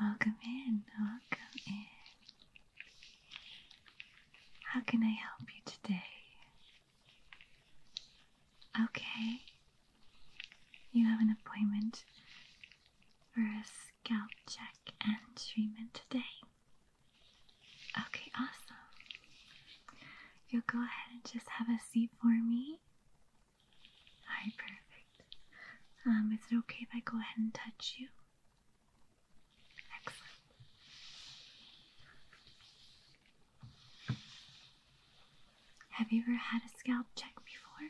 Welcome in, welcome in. How can I help you today? Okay. You have an appointment for a scalp check and treatment today. Okay, awesome. You'll go ahead and just have a seat for me. Alright, perfect. Um, is it okay if I go ahead and touch you? Excellent. Have you ever had a scalp check before?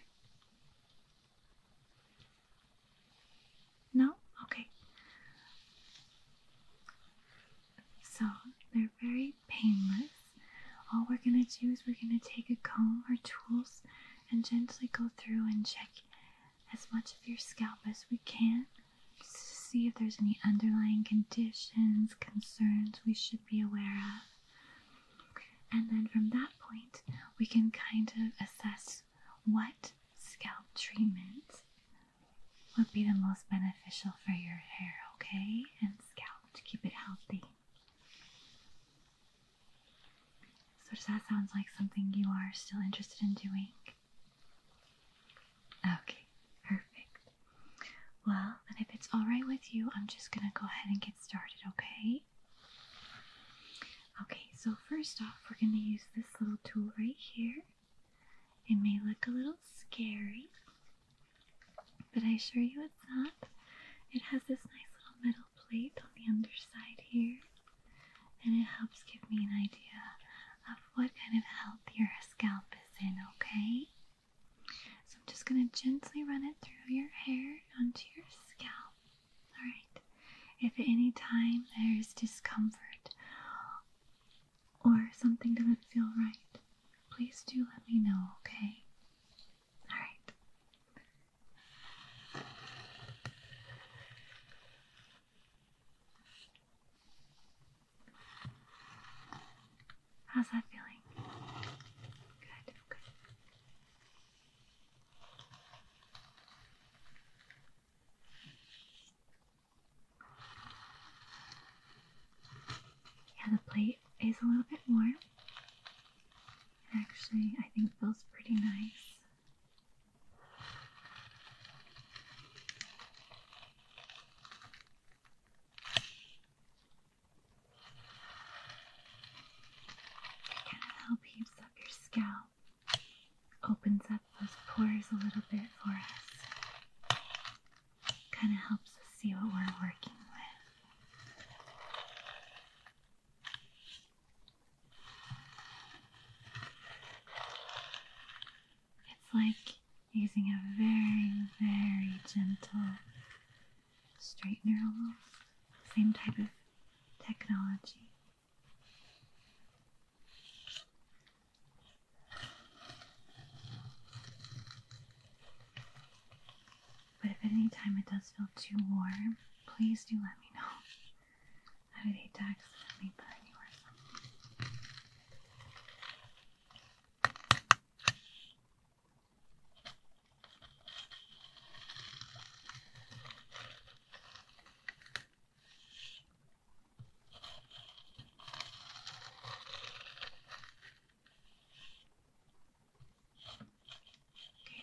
No? Okay. So they're very painless. All we're going to do is we're going to take a comb or tools and gently go through and check as much of your scalp as we can just to see if there's any underlying conditions, concerns we should be aware of. And then from that point, we can kind of assess what scalp treatment would be the most beneficial for your hair, okay? And scalp to keep it healthy. So, does that sounds like something you are still interested in doing? Okay, perfect. Well, and if it's alright with you, I'm just gonna go ahead and get started, okay? Okay, so first off, we're gonna use this little tool right here. It may look a little scary, but I assure you it's not. It has this nice little metal plate on the underside here, and it helps give me an idea of what kind of health your scalp is in, okay? So I'm just going to gently run it through your hair onto your scalp. Alright? If at any time there's discomfort or something doesn't feel right, please do let me know, okay? Alright. How's that feeling? Good, Yeah, the plate is a little bit warm. actually, I think feels pretty nice kind of help heaps up your scalp, opens up those pores a little bit for us. Kind of helps us see what we're working with. It's like using a very, very gentle straightener almost. Same type of technology. But if at any time it does feel too warm, please do let me know. I would hate to accidentally burn you or something. Okay,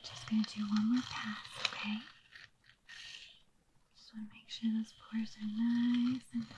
just gonna do one more pass, okay? Just wanna make sure those pores are nice and open.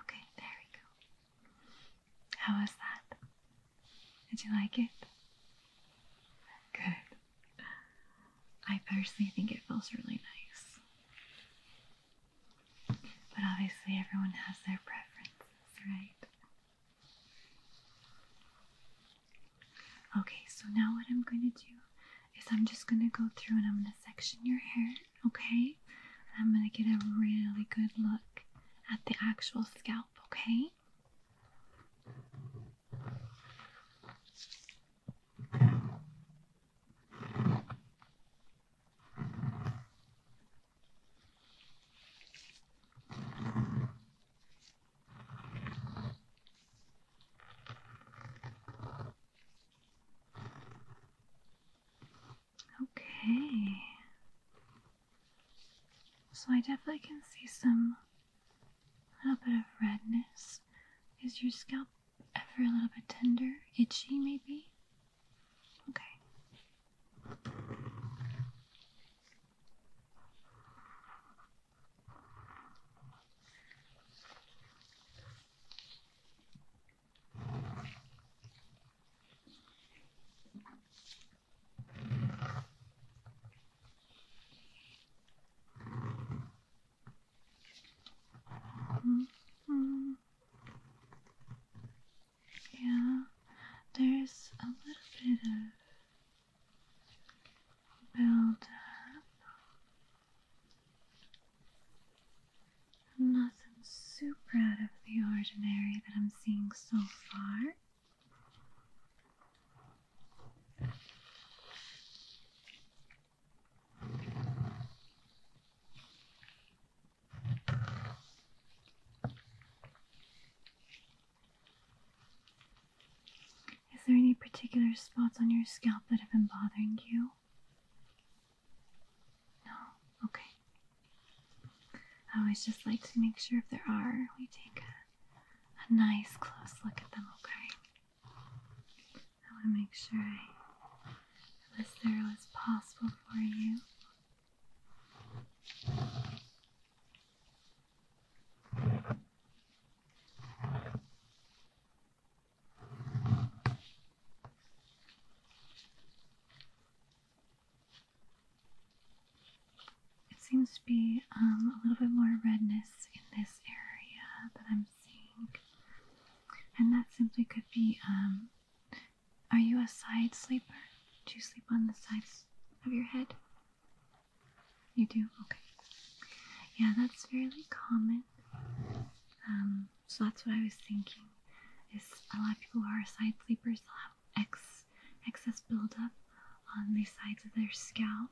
Okay, there we go. How was that? Did you like it? Good. I personally think it feels really nice. But obviously, everyone has their preferences, right? Okay, so now what I'm going to do is I'm just going to go through and I'm going to section your hair, okay? I'm going to get a really good look at the actual scalp, okay? Okay. So I definitely can see some little bit of redness. Is your scalp ever a little bit tender, itchy maybe? Okay. Mm-hmm. Yeah, there's a little bit of build up. Nothing super out of the ordinary that I'm seeing so far. Is there any particular spots on your scalp that have been bothering you? No? Okay. I always just like to make sure if there are, we take a, nice close look at them, okay? I want to make sure I am as thorough as possible for you. It seems to be um, a little bit more redness in this area that I'm seeing, and that simply could be. Um, are you a side sleeper? Do you sleep on the sides of your head? You do? Okay. Yeah, that's fairly common. Um, so that's what I was thinking. Is a lot of people who are side sleepers will have ex excess buildup on the sides of their scalp,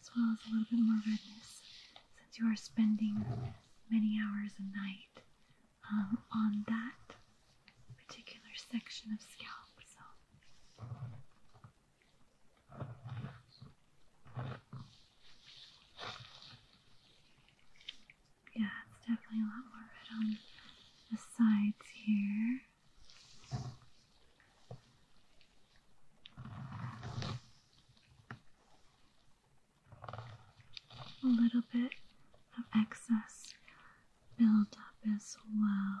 as well as a little bit more redness, since you are spending many hours a night um, on that particular section of scalp. So yeah, it's definitely a lot more red on the sides here. A little bit of excess buildup as well.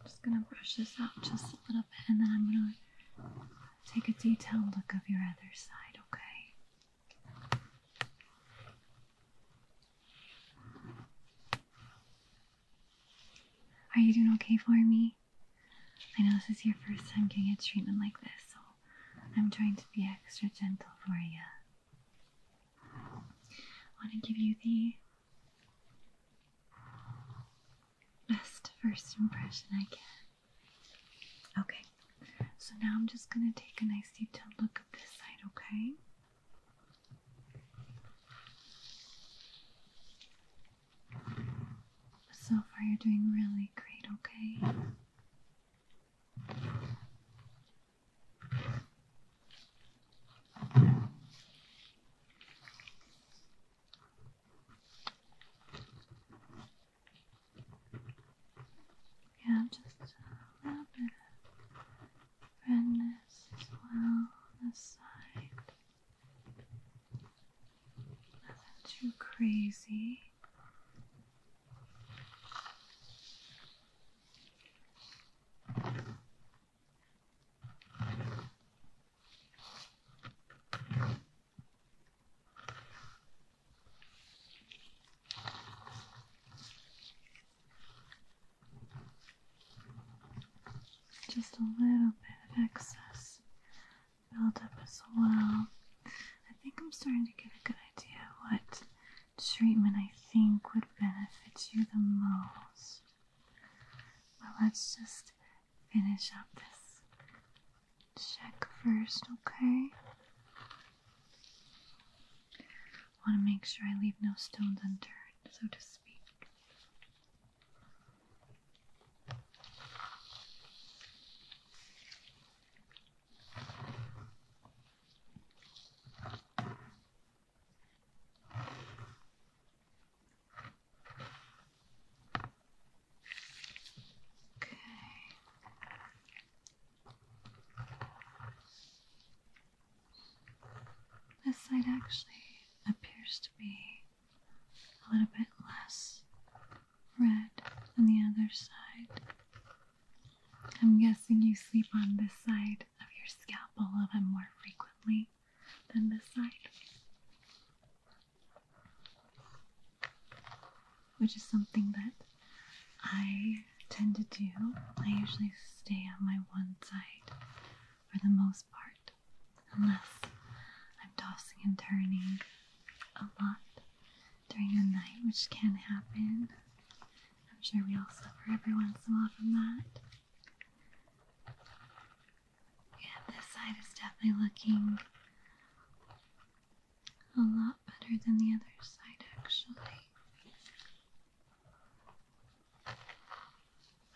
I'm just going to brush this out just a little bit and then I'm going to take a detailed look of your other side, okay? Are you doing okay for me? I know this is your first time getting a treatment like this, so I'm trying to be extra gentle for you. I want to give you the best first impression I get. Okay, so now I'm just gonna take a nice detailed look at this side, okay? So far, you're doing really great, okay? Yeah, just a little bit of redness as well on this side. Nothing too crazy. Just a little bit of excess build up as well. I think I'm starting to get a good idea what treatment I think would benefit you the most. Well, let's just finish up this check first, okay? Want to make sure I leave no stones unturned, so to speak. This side actually appears to be a little bit less red than the other side. I'm guessing you sleep on this side of your scalp a little bit more frequently than this side, which is something that I tend to do. I usually stay on my one side for the most part, unless I'm tossing and turning a lot during the night, which can happen. I'm sure we all suffer every once in a while from that. Yeah, this side is definitely looking a lot better than the other side, actually.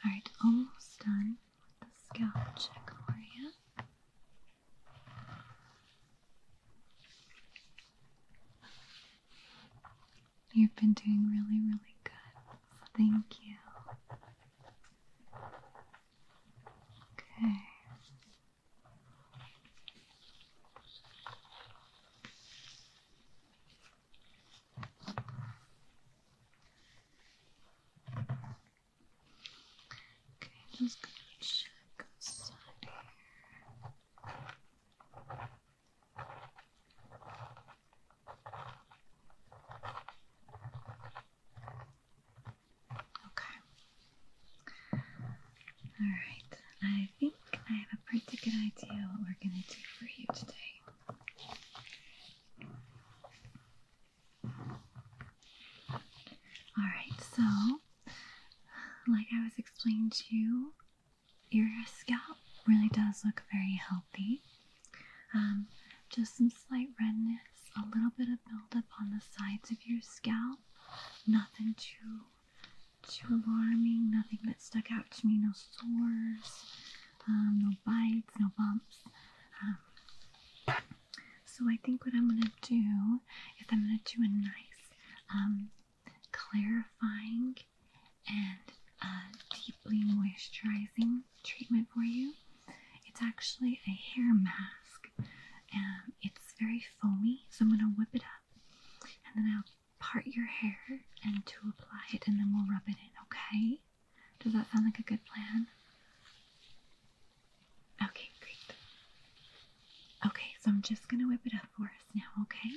Alright, almost done with the scalp check for you. You've been doing really, really good. Thank you. Okay. Okay, just gonna here. Okay. Alright, I think I have a pretty good idea what we're going to do for you today. Alright, so, like I was explaining to you, your scalp really does look very healthy. Um, just some slight redness, a little bit of buildup on the sides of your scalp. Nothing too too alarming. Nothing that stuck out to me. No sores, um, no bites, no bumps. Um, so I think what I'm gonna do is I'm gonna do a nice clarifying and uh, deeply moisturizing treatment for you. It's actually a hair mask and it's very foamy, so I'm going to whip it up and then I'll part your hair and to apply it, and then we'll rub it in, okay? Does that sound like a good plan? Okay, great. Okay, so I'm just gonna whip it up for us now, okay?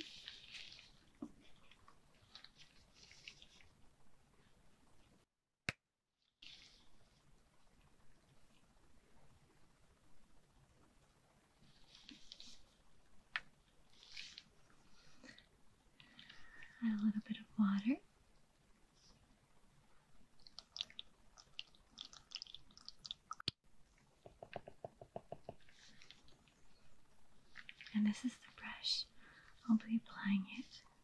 Add a little bit of water. And this is the brush. I'll be applying it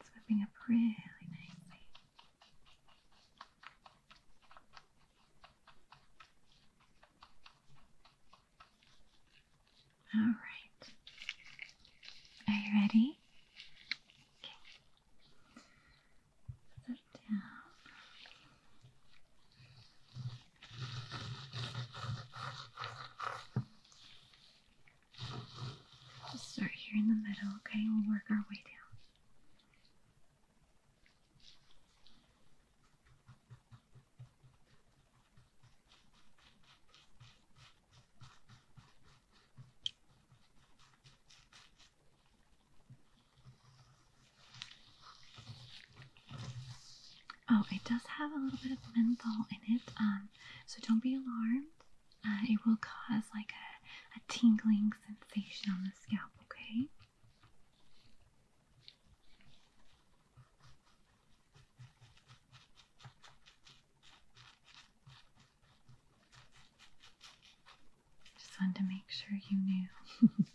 It's up really nicely. All right. Are you ready? Put start here in the middle, okay? We'll work our way down. Oh, it does have a little bit of menthol in it, um, so don't be alarmed. Uh, it will cause like a, a tingling sensation on the scalp, okay? Just wanted to make sure you knew.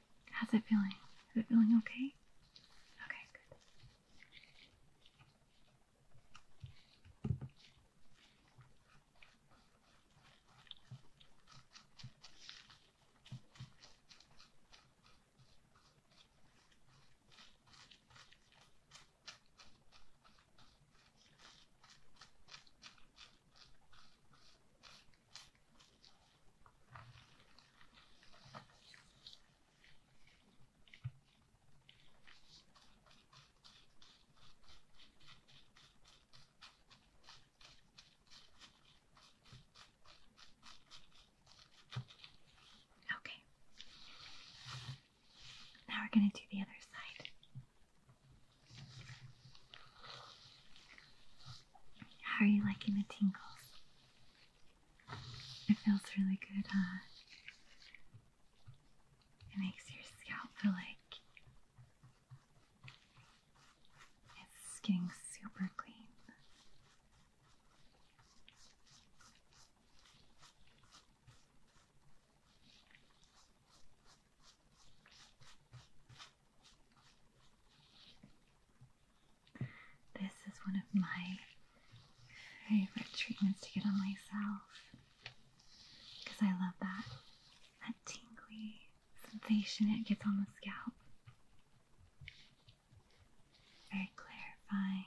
How's it feeling? Is it feeling okay? Okay, good. Okay. Now we're going to do the other side. How are you liking the tingles? It feels really good, huh? It makes your scalp feel like it's getting super clean. This is one of my favorite treatments to get on myself because I love that that tingly sensation it gets on the scalp. Very clarifying.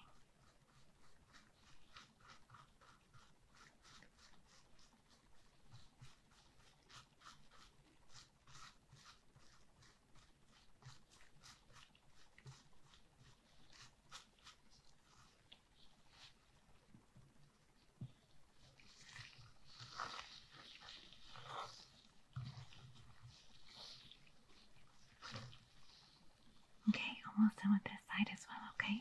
Okay, almost done with this side as well, okay?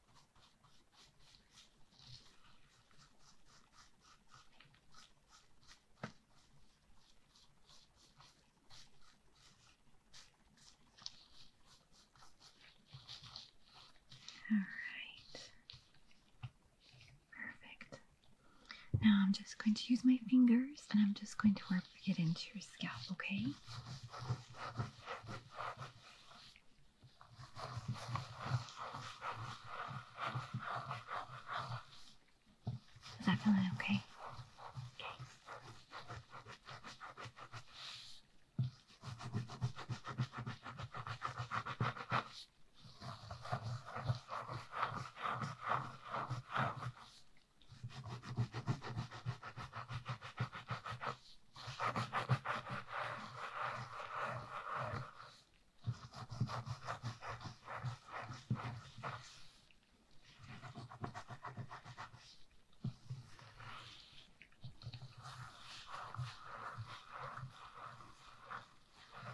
All right. Perfect. Now I'm just going to use my fingers and I'm just going to work it into your scalp, okay? Is that feeling okay? Okay.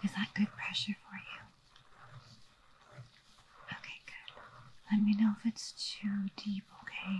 Is that good pressure for you? Okay, good. Let me know if it's too deep, okay?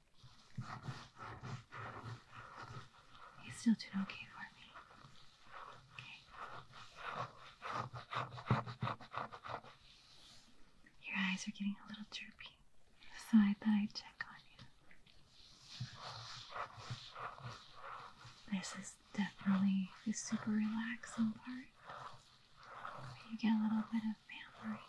You're still doing okay for me. Your eyes are getting a little droopy, so I thought I'd check on you. This is definitely the super relaxing part. You get a little bit of pampering.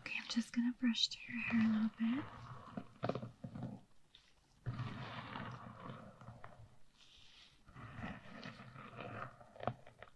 Okay, I'm just going to brush through your hair a little bit.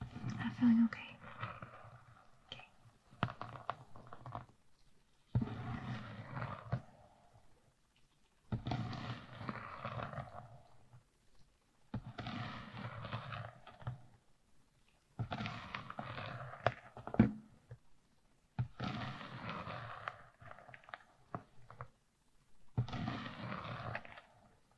Is that feeling okay? Okay. Okay.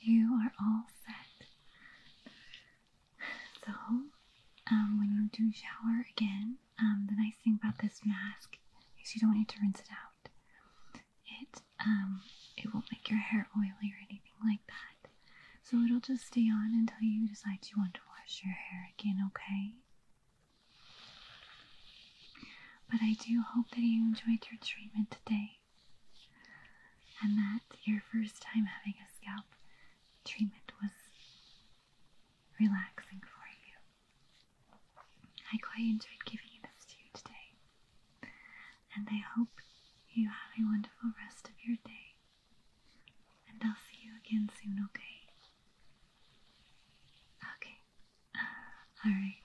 you are all set. So, um, when you do shower again, um, the nice thing about this mask is you don't need to rinse it out. It um, it won't make your hair oily or anything like that. So it'll just stay on until you decide you want to wash your hair again. Okay. But I do hope that you enjoyed your treatment today and that your first time having a scalp treatment was relaxing for you. I quite enjoyed giving this to you today, and I hope you have a wonderful rest of your day. And I'll see you again soon, okay? Okay. All right.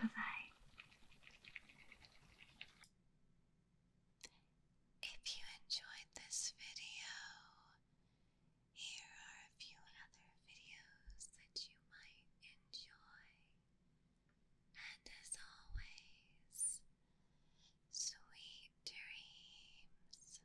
Bye bye. If you enjoyed this video, here are a few other videos that you might enjoy. And as always, sweet dreams.